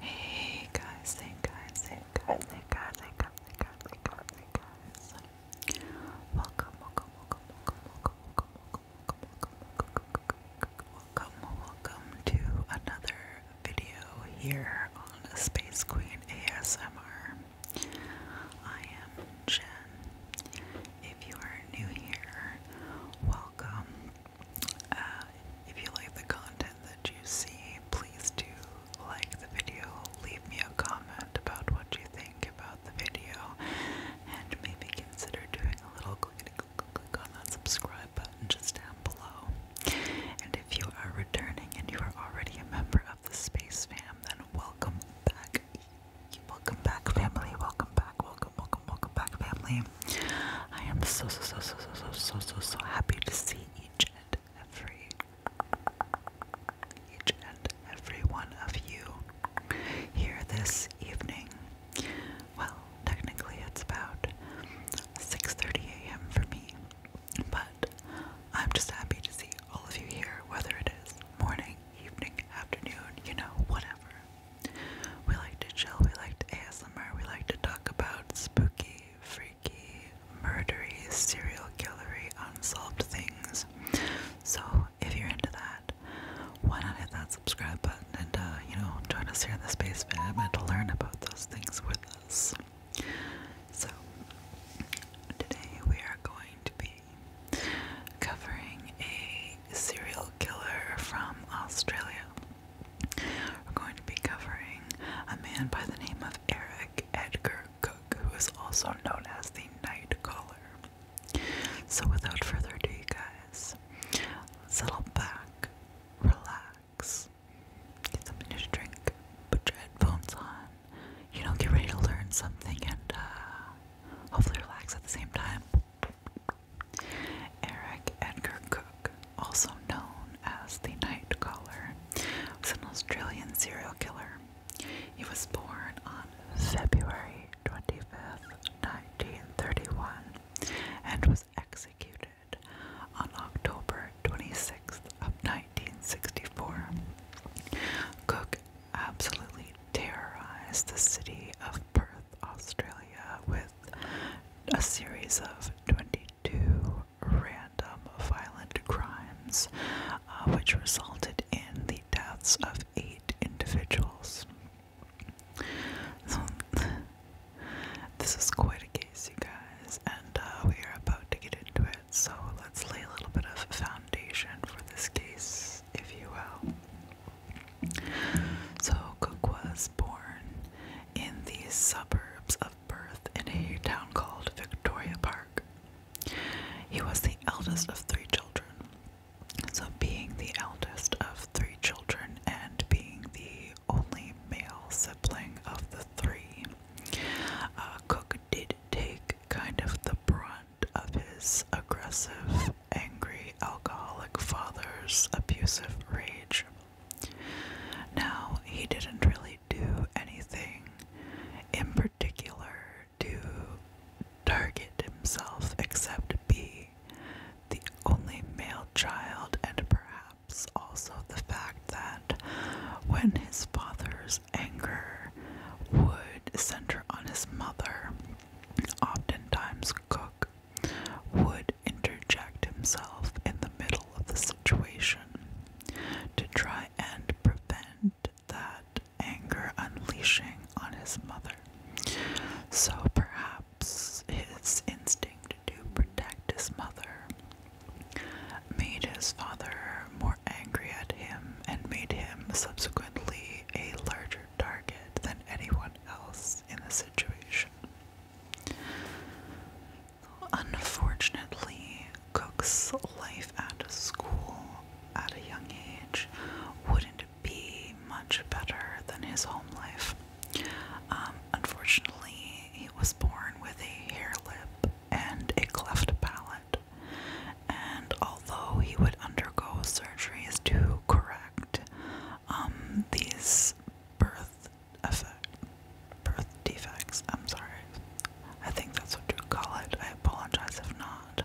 Hey guys, hey guys, hey guys, hey guys, hey guys, hey guys, hey guys, hey guys. Welcome, welcome, welcome, welcome, welcome, welcome, welcome, welcome, welcome, welcome to another video here on Space Queen ASMR. I am if you are new here, welcome. Uh, if you like the content that you see, please do like the video, leave me a comment about what you think about the video, and maybe consider doing a little click, click, click on that subscribe button just down below. And if you are returning and you are already a member of the Space Fam, then welcome back. Welcome back, family. Welcome back. Welcome, welcome, welcome back, family. I am so, so, so, so, so, so, so, so happy to see each and every, each and every one of you here this evening. Well, technically it's about 6:30 a.m. for me, but I'm just happy to see all of you here, whether it is morning, evening, afternoon, you know, whatever. We like to chill, we like to ASMR, we like to talk about spooky, freaky, murdery, serial killery, unsolved things. So if you're into that, why not hit that subscribe button and uh, you know, join us here in the space fam and to learn about those things with us. So today we are going to be covering a serial killer from Australia. We're going to be covering a man by the name of Eric Edgar Cook, who is also known as the Night Caller. So, without further ado, guys, settle back, relax, get something to drink, put your headphones on, you know, get ready to learn something, and uh, hopefully relax at the same time. Eric Edgar Cook, also known as the Night Caller, was an Australian serial killer. He was born on February 25th, 1931, and was executed on October 26th of 1964. Cook absolutely terrorized the city of Perth, Australia, with a series of 22 random violent crimes, uh, which resulted in the deaths of eight individuals. this is quite a case, you guys, and uh, we are about to get into it, so let's lay a little bit of foundation for this case if you will. So Cook was born in the suburbs of Perth in a town called Victoria Park. He was the eldest of three children. So, being the eldest of three children and being the only male sibling of the three, uh, Cook did take kind of the brunt of his aggressive, angry, alcoholic father's abusive rage. Now, he didn't really do anything in particular to target himself except be the only male child and perhaps also the fact that when his father's anger would center on his mother, oftentimes Cook would interject himself in the middle of the situation to try and prevent that anger unleashing on his mother. So perhaps his instinct to protect his mother made his father more angry at him and made him subsequently a larger target than anyone else in the situation. Unfortunately, Cook's life at school at a young age wouldn't be much better than his home life. Um, unfortunately, he was born with a hair lip and a cleft palate. And although he would undergo surgeries to correct um, these birth effect, birth defects, I'm sorry, I think that's what you call it. I apologize if not.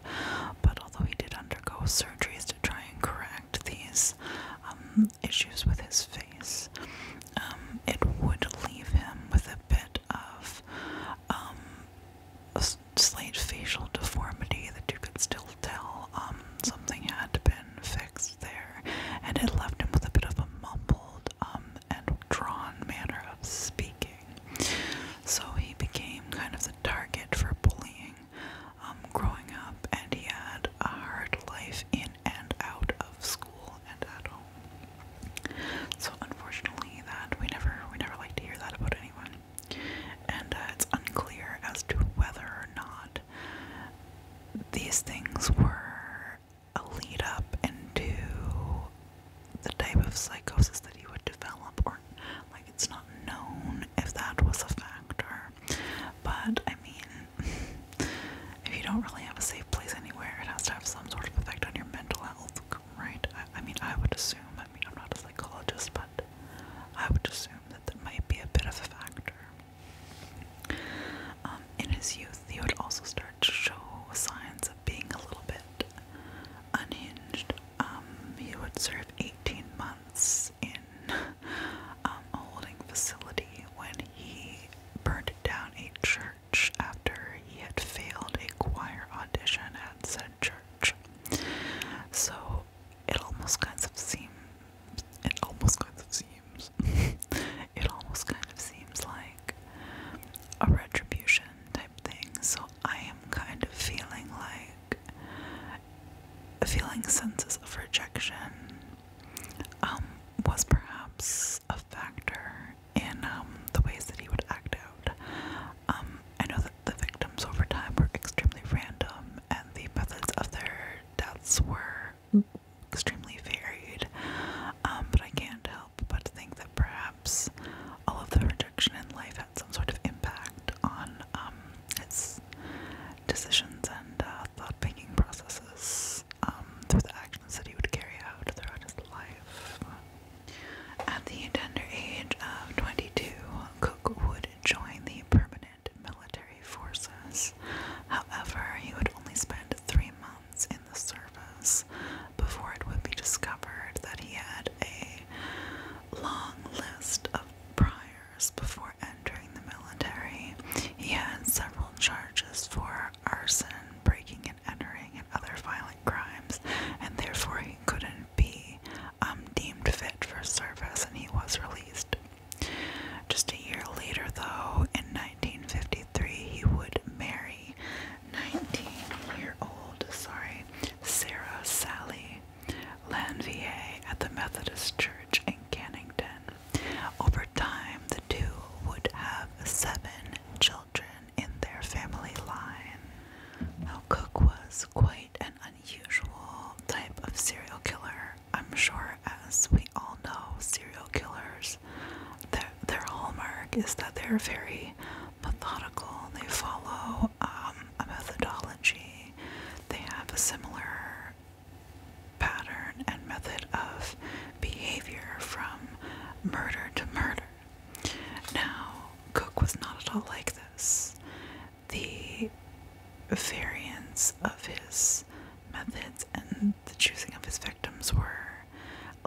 But although he did undergo surgeries to try and correct these um, issues with his face, um, it would leave him with a bit of a slight facial deformity that you could still tell um, something had been fixed there, and it left him with a bit of a mumbled um, and drawn manner of speaking. So he became kind of the target for bullying um, growing up, and he had a hard life in and out of school and at home. So unfortunately, that we never we never like to hear that about anyone, and uh, it's unclear as to whether or not these things were a lead up into the type of psychosis that he would develop, or like it's not known if that was a factor. But I mean, if you don't really have a safe place anywhere, it has to have some sort of effect on your mental health, right? I mean, I would assume, I mean, I'm not a psychologist, but I would assume that that might be a bit of a factor. Um, in his youth, he would also start to show signs of being a little bit unhinged. Um, he would serve 18 months in um, a holding facility when he burned down a church after he had failed a choir audition at said church. So it almost kind of seems. It almost kind of seems. it almost kind of seems like a retribution type thing. So I am kind of feeling like feeling senses of rejection um, was perhaps a factor in um, the ways that he would act out. Um, I know that the victims over time were extremely random, and the methods of their deaths were extremely varied. Um, but I can't help but think that perhaps all of the rejection in life had some sort of impact on um, his decisions and uh, thought making processes um, through the actions that he would carry out throughout his life. At the tender age of 22, Cook would join the permanent military forces. However, he would only spend three months in the service before it would be discovered that he had a long list of priors before entering the military. He had several charges for arson, breaking and entering, and other violent crimes, and therefore he couldn't be um, deemed fit for service, and he was released. Just a year later, though, in 1953, he would marry 19-year-old, sorry, Sarah Sally Lanvier at the Methodist Church in Cannington. Over time, the two would have seven children in their family line. Now, Cook was quite an unusual type of serial killer. I'm sure, as we all know, serial killers, their, their hallmark is that they're very methodical, they follow um, a methodology, they have a similar pattern and method of behavior from murder to murder. Now, Cook was not at all like this. The variance of his methods and the choosing of his victims were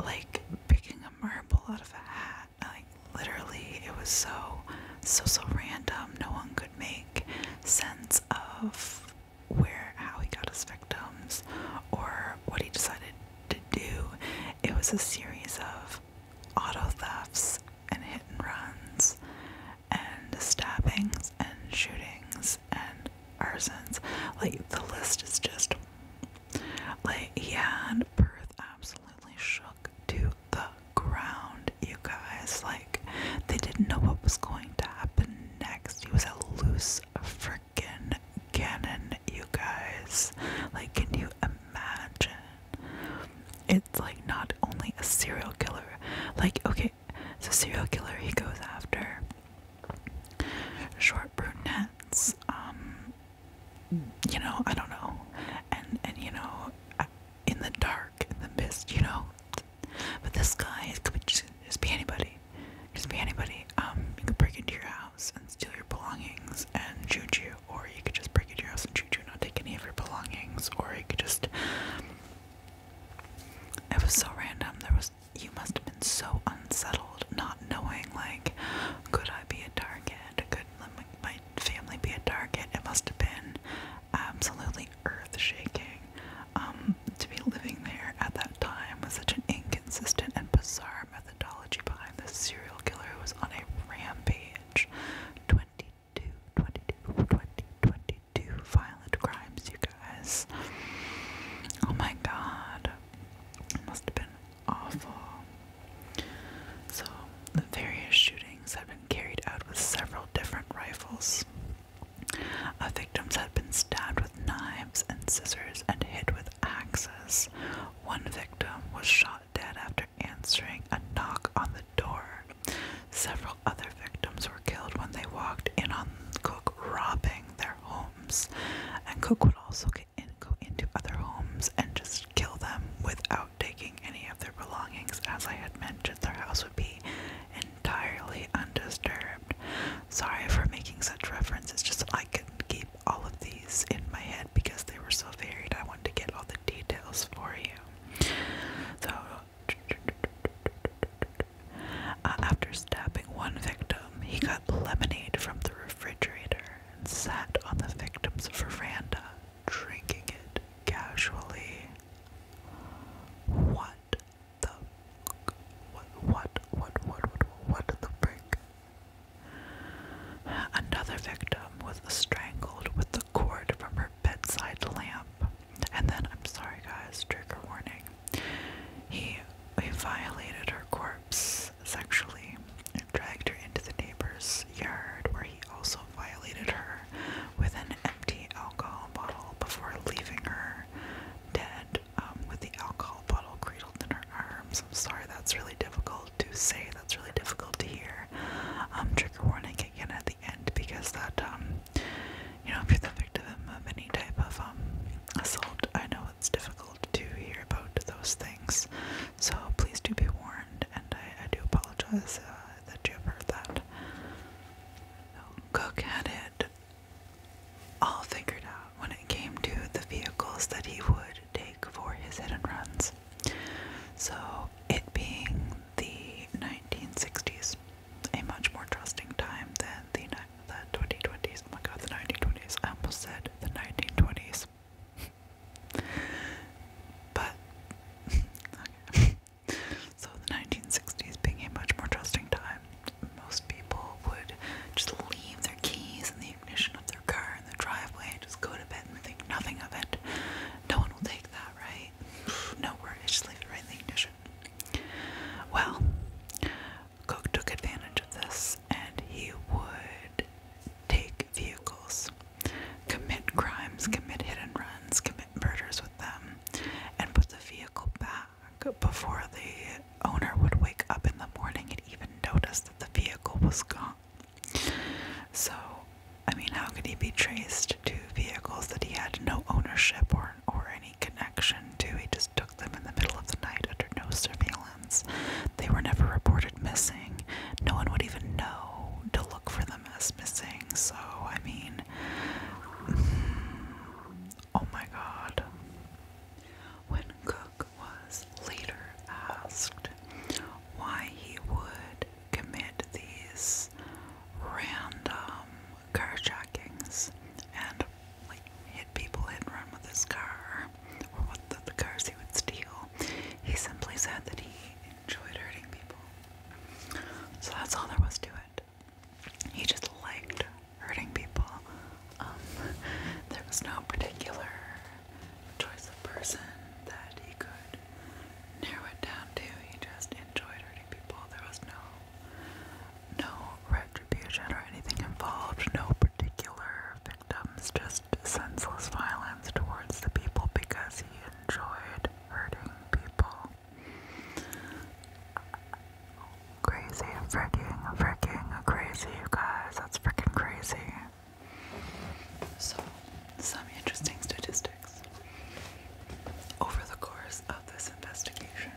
like picking a marble out of a hat. Like, literally, it was so, so, so random. No one could make sense of where, how he got his victims or what he decided to do. It was a series of auto thefts and hit and runs and stabbings and shootings and arsons. Like the list is just like yeah, and Perth absolutely shook to the ground, you guys. Like they didn't know what was going to happen next. He was a loose freaking cannon you guys. Like, can you imagine? It's like not only a serial killer, like, okay, so serial killer he goes after short brunettes, um, you know, I don't know, and, and you know, in the dark, in the mist, you know. But this guy could just, just be anybody anybody. It could be anybody. Um, you could break into your house and steal your belongings and shoot you, or you could just break into your house and shoot you and not take any of your belongings, or you could just. It was so random. There was. You must have been so unsettled, not knowing like, could I be a target? Could my family be a target? It must have been absolutely earth shaking. Um, to be living there at that time with such an inconsistent and bizarre methodology behind this serial killer who was on a rampage. 22, violent crimes, you guys. Oh my god. It must have been awful. So, the various shootings had been carried out with several different rifles. Our uh, victims had been stabbed with knives and scissors and hit with axes. One victim was shot dead after answering a knock on the door. Several other victims were killed when they walked in on Cook robbing their homes, and Cook would also get in, go into other homes and just kill them without taking any of their belongings. As I had mentioned, their house would be entirely undisturbed. Sorry for making such references, just I couldn't keep all of these in my head because they were so varied. I wanted to get all the details for you. So, uh, after stabbing one victim, he got lemonade from the refrigerator and sat on the victim's veranda, drinking it casually. What? the what what what what what the frick? Another victim was strangled with the cord from her bedside lamp. And then I'm sorry guys, trigger warning. He he violated her corpse sexually and dragged her into the neighbor's yard where he also violated her with an empty alcohol bottle before leaving her dead um, with the alcohol bottle cradled in her arms. I'm sorry, that's really difficult to say. That's really difficult to hear. Um, trigger warning again at the end because that, um, you know, if you're the victim of any type of assault, I know it's difficult to hear about those things. So please do be warned, and I, do apologize uh, that you have heard that. So Cook it all figured out when it came to the vehicles that he would take for his hit and runs. So, it being the 1960s, a much more trusting time than the, the 2020s. Oh my god, the 1920s. I almost said the 1920s. but, So the 1960s being a much more trusting time. Most people would just leave their keys in the ignition of their car in the driveway and just go to bed and think nothing of it. No one will take that, right? No worries, just leave it right in the ignition. Well, Cook took advantage of this and he would take vehicles, commit crimes, commit hit and runs, commit murders with them, and put the vehicle back before the owner would wake up in the morning and even notice that the vehicle was gone. So, I mean, how could he be traced to vehicles that he had no ownership or, or any connection to? He just took them in the middle of the night under no surveillance. They were never reported missing. No one would even know to look for them as missing. So, I mean, Oh my god. When Cook was later asked why he would commit these random carjackings and hit people hit and run with his car or what the cars he would steal, he simply said that he enjoyed hurting people. So that's all there was to it. He just liked hurting people. Um, there was no particular choice of person that he could narrow it down to. He just enjoyed hurting people. There was no no retribution or anything involved. No particular victims. Just senseless violence towards the people because he enjoyed hurting people. Crazy, freaking, freaking crazy, you guys. That's freaking crazy. So, some interesting statistics. Over the course of this investigation,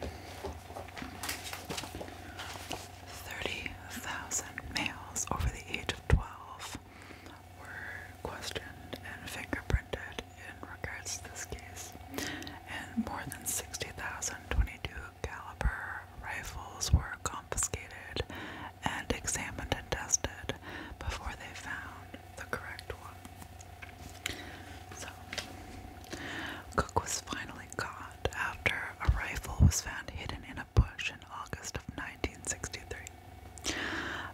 30,000 males over the age of 12 were questioned and fingerprinted in regards to this case, and more than 60,000 22 caliber rifles were confiscated and examined and tested before they found the correct one. So, Cook was finally caught after a rifle was found hidden in a bush in August of 1963.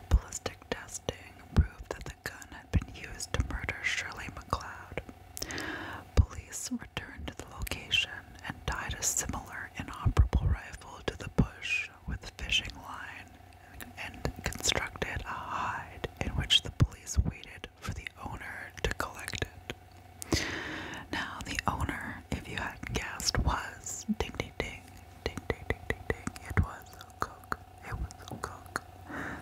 Ballistic testing proved that the gun had been used to murder Shirley MacLeod. Police returned to the location and tied a similar inoperable rifle to the bush with a fishing line and constructed a hide in which the police waited for the owner to collect it. Now, the owner, if you hadn't guessed, was ding ding ding, ding ding ding ding ding, it was Cook it was Cook.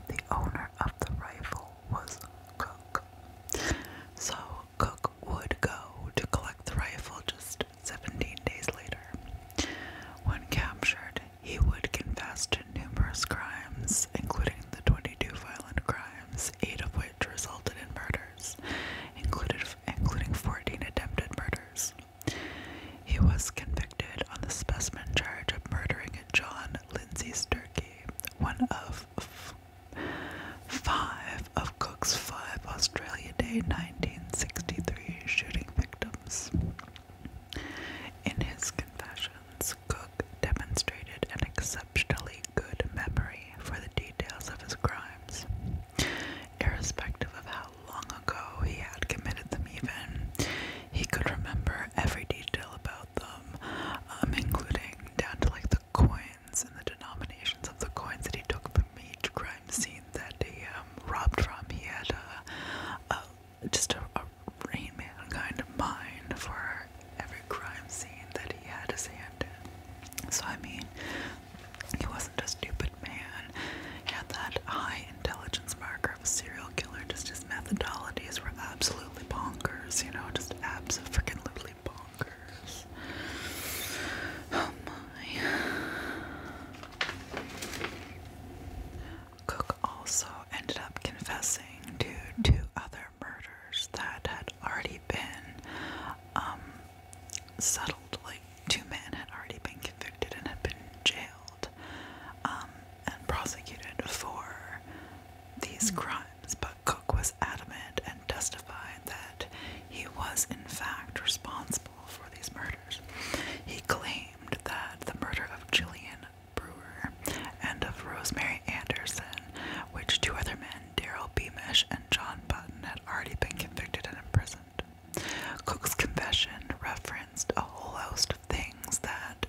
The owner of the rifle was Cook. So Cook would go to collect the rifle just 17 days later. When captured, he would confess to numerous crimes, including the 22 violent crimes, eight of which resulted in murders, included, including 14 attempted murders. He was convicted on the specimen charge of murdering John Lindsay turkey, one of five of Cook's five Australia Day 1963 shooting victims. In his confessions, Cook demonstrated an exceptionally good memory for the details of his crimes, irrespective of how long ago he had committed them, even. He could remember every detail about them, um, including down to like the coins and the denominations of the coins that he took from each crime scene that he um, robbed from. He had a, just a, brain Man kind of mind for every crime scene that he had his hand in. So, I mean, he wasn't a stupid man. He had that eye intelligence marker of a serial killer. Just his methodologies were absolutely bonkers, you know, just absolutely bonkers. Oh my. Cook also ended up confessing to two other murders that had already been um, settled. Like, two men had already been convicted and had been jailed. Um, and prosecuted for these hmm. crimes, but Cook was adamant and testified that he was, in fact, responsible for these murders. He claimed that the murder of Jillian Brewer and of Rosemary Anderson, which two other men, Daryl Beamish and John Button, had already been convicted and imprisoned. Cook's confession referenced a whole host of things that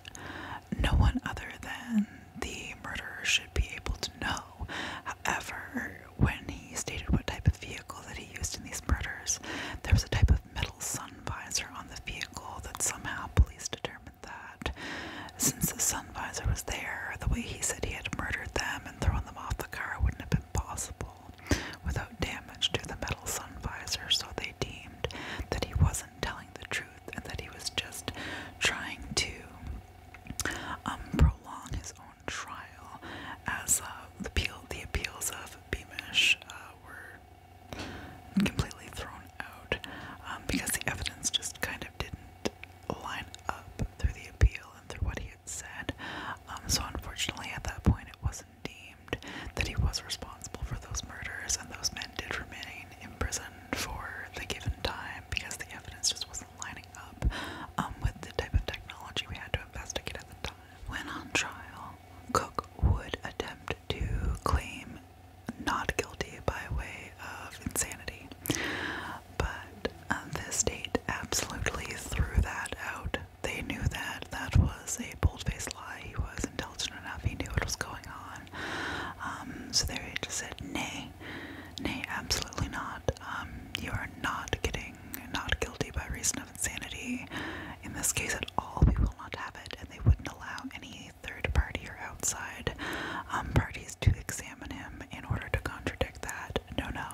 no one other than the murderer should be able to know. However, when he stated what type of vehicle that he used in these murders, there was a type of metal sun visor on the vehicle that somehow police determined that since the sun visor was there, the way he said he had murdered them and thrown them off the car wouldn't have been possible visible without damage to the metal sun visor, so they deemed that he wasn't telling the truth and that he was just trying to um, prolong his own trial as uh, the, appeal, the appeals of Beamish uh, were completely thrown out um, because the evidence just kind of didn't line up through the appeal and through what he had said. Um, so unfortunately at that point it was was deemed that he was responsible for those murders, and those men did remain imprisoned for the given time because the evidence just wasn't lining up um, with the type of technology we had to investigate at the time. When on trial, Cook would attempt to claim not guilty by way of insanity, but uh, the state absolutely threw that out they knew that that was a bold-faced lie. He was intelligent enough; he knew what was going on. Um, so they just said, "Nay, nay, absolutely not. Um, you are not getting not guilty by reason of insanity in this case at all. We will not have it, and they wouldn't allow any third party or outside um, parties to examine him in order to contradict that. No, no,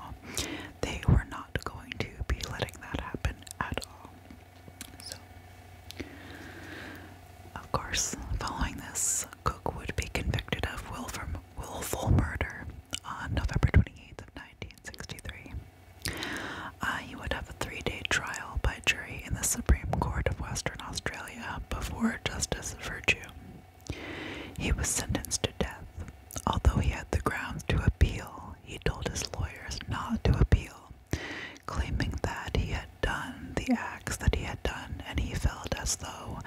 they were not going to be letting that happen at all. So, of course, following this, Cook would be convicted of willful murder on November 28th of 1963. Uh, he would have a three-day trial by jury in the Supreme Court of Western Australia before Justice Virtue. He was sentenced to death Although he had the grounds to appeal, he told his lawyers not to appeal, claiming that he had done the acts that he had done and he felt as though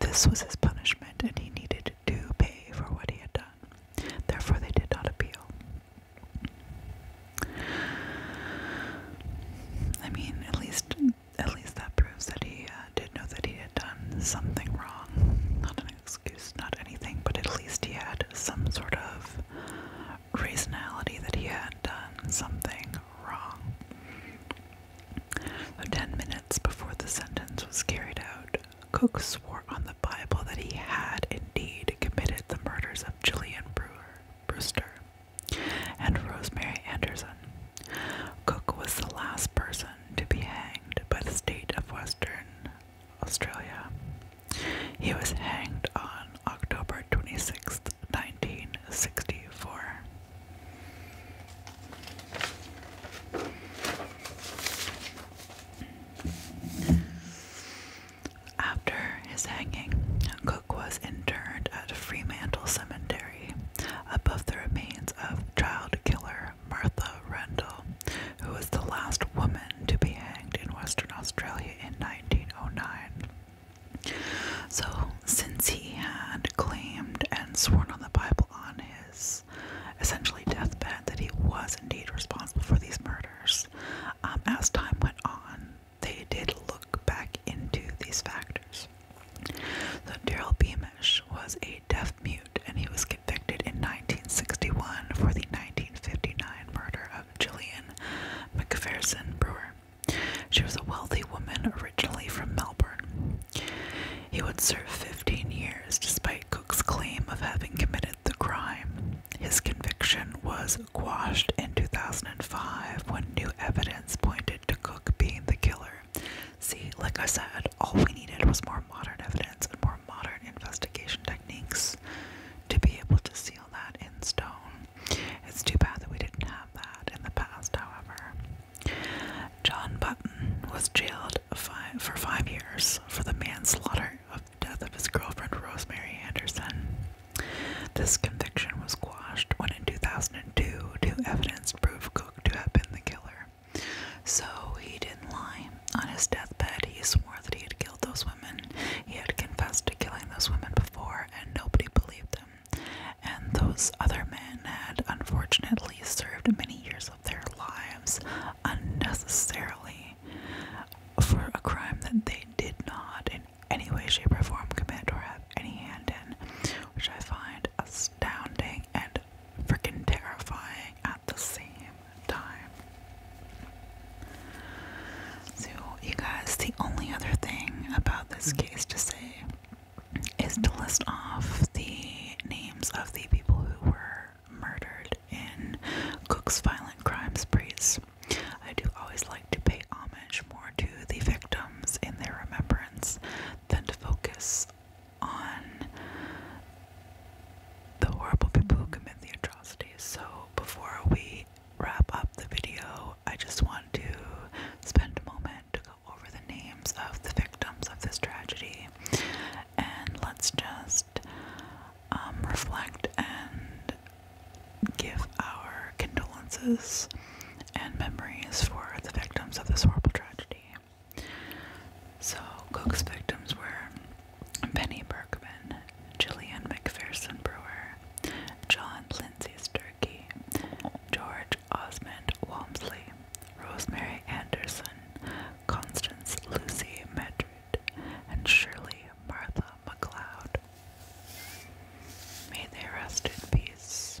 this was his punishment and he needed to pay for what he had done. Therefore, they did not appeal. I mean, at least at least that proves that he uh, did know that he had done something wrong, not an excuse, not anything, but at least he had some sort of reasonality that he had done something wrong. So ten minutes before the sentence was carried out, Cook swore on the Bible that he had indeed committed the murders of Julian Brewer, Brewster and Rosemary Anderson. Cook was the last person to be hanged by the state of Western Australia. He was hanged on October 26, 1964. After his hanging, Cook was interred at Fremantle Cemetery above the remains of child killer Martha Rendell, who was the last woman to be hanged in Western Australia in 1909. So, since he had claimed and sworn on the Bible on his essentially deathbed that he was indeed responsible for these murders, um, as time went on, they did look back into these factors. So, Daryl Beamish was a deaf mute, and he was convicted in 1961 for the 1959 murder of Gillian Macpherson Brewer. She was a wealthy woman originally from Melbourne. He would serve 15 years despite Cook's claim of having committed the crime. His conviction was quashed in 2005 when new evidence pointed to Cook being the killer. See, like I said, all we needed was more modern evidence and more modern investigation techniques to be able to seal that in stone. It's too bad that we didn't have that in the past, however. John Button was jailed five, for five years for the manslaughter of death of his girlfriend Rosemary Anderson. This conviction was quashed when in 2002 two evidence proved Cook to have been the killer. So he didn't lie. On his deathbed, he swore that he had killed those women. He had confessed to killing those women before, and nobody believed him. And those other men had unfortunately served many years of their lives unnecessarily for a crime that they did not in any way, shape, or form commit or have any hand in, which I find astounding and freaking terrifying at the same time. So, you guys, the only other thing about this case to say is to list off the names of the people who were murdered in Cook's violent crime sprees. I do always like to pay homage more to the victims in their remembrance than to focus on the horrible people who commit the atrocities. So, before we wrap up the video, I just want to spend a moment to go over the names of the victims of this tragedy and let's just um, reflect and give our condolences and memories for the victims of this horrible tragedy. So Cook's victims were Penny Berkman, Jillian McPherson Brewer, John Lindsay's Turkey, George Osmond Walmsley, Rosemary Anderson, Constance Lucy Medred, and Shirley Martha McLeod. May they rest in peace.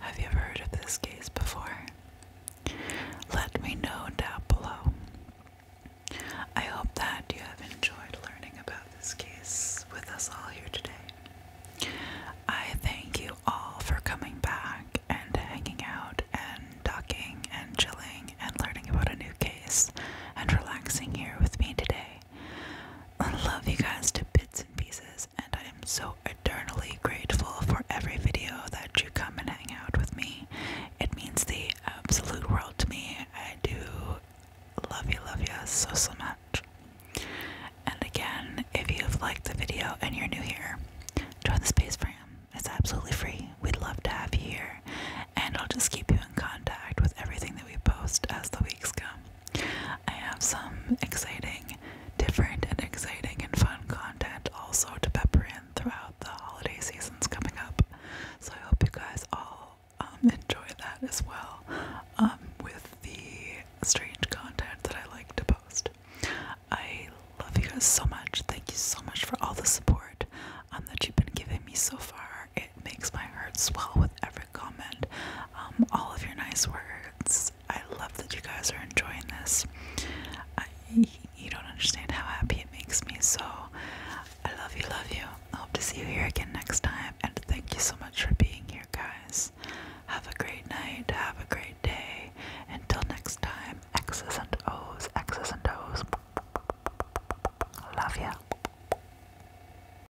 Have you ever heard of this case before? Let me know down below. I hope that you have enjoyed learning about this case with us all here today. I thank you all for coming back and hanging out and talking and chilling and learning about a new case and relaxing here with me today. I love you guys to bits and pieces and I am so eternally grateful for every video that you come and hang out with me. It means the absolute world to me. I do love you, love you so, so much. And again, if you've liked the video and you're new here, join the Space for him. It's absolutely free. We'd love to have you here. And I'll just keep you in contact with everything that we post as the weeks come. I have some exciting, different, and exciting and fun content also to pepper in throughout the holiday seasons coming up. So I hope you guys all um, enjoy that as well um, with the strange content that I like to post. I love you guys so much. Thank you so much for all the support um, that you've been giving me so far. It makes my heart swell with every comment, um, all of your nice words. I love that you guys are enjoying this. you don't understand how happy it makes me, so I love you, love you. I hope to see you here again next time, and thank you so much for being here, guys. Have a great night, have a great day. Until next time, X's and O's, X's and O's. Love you.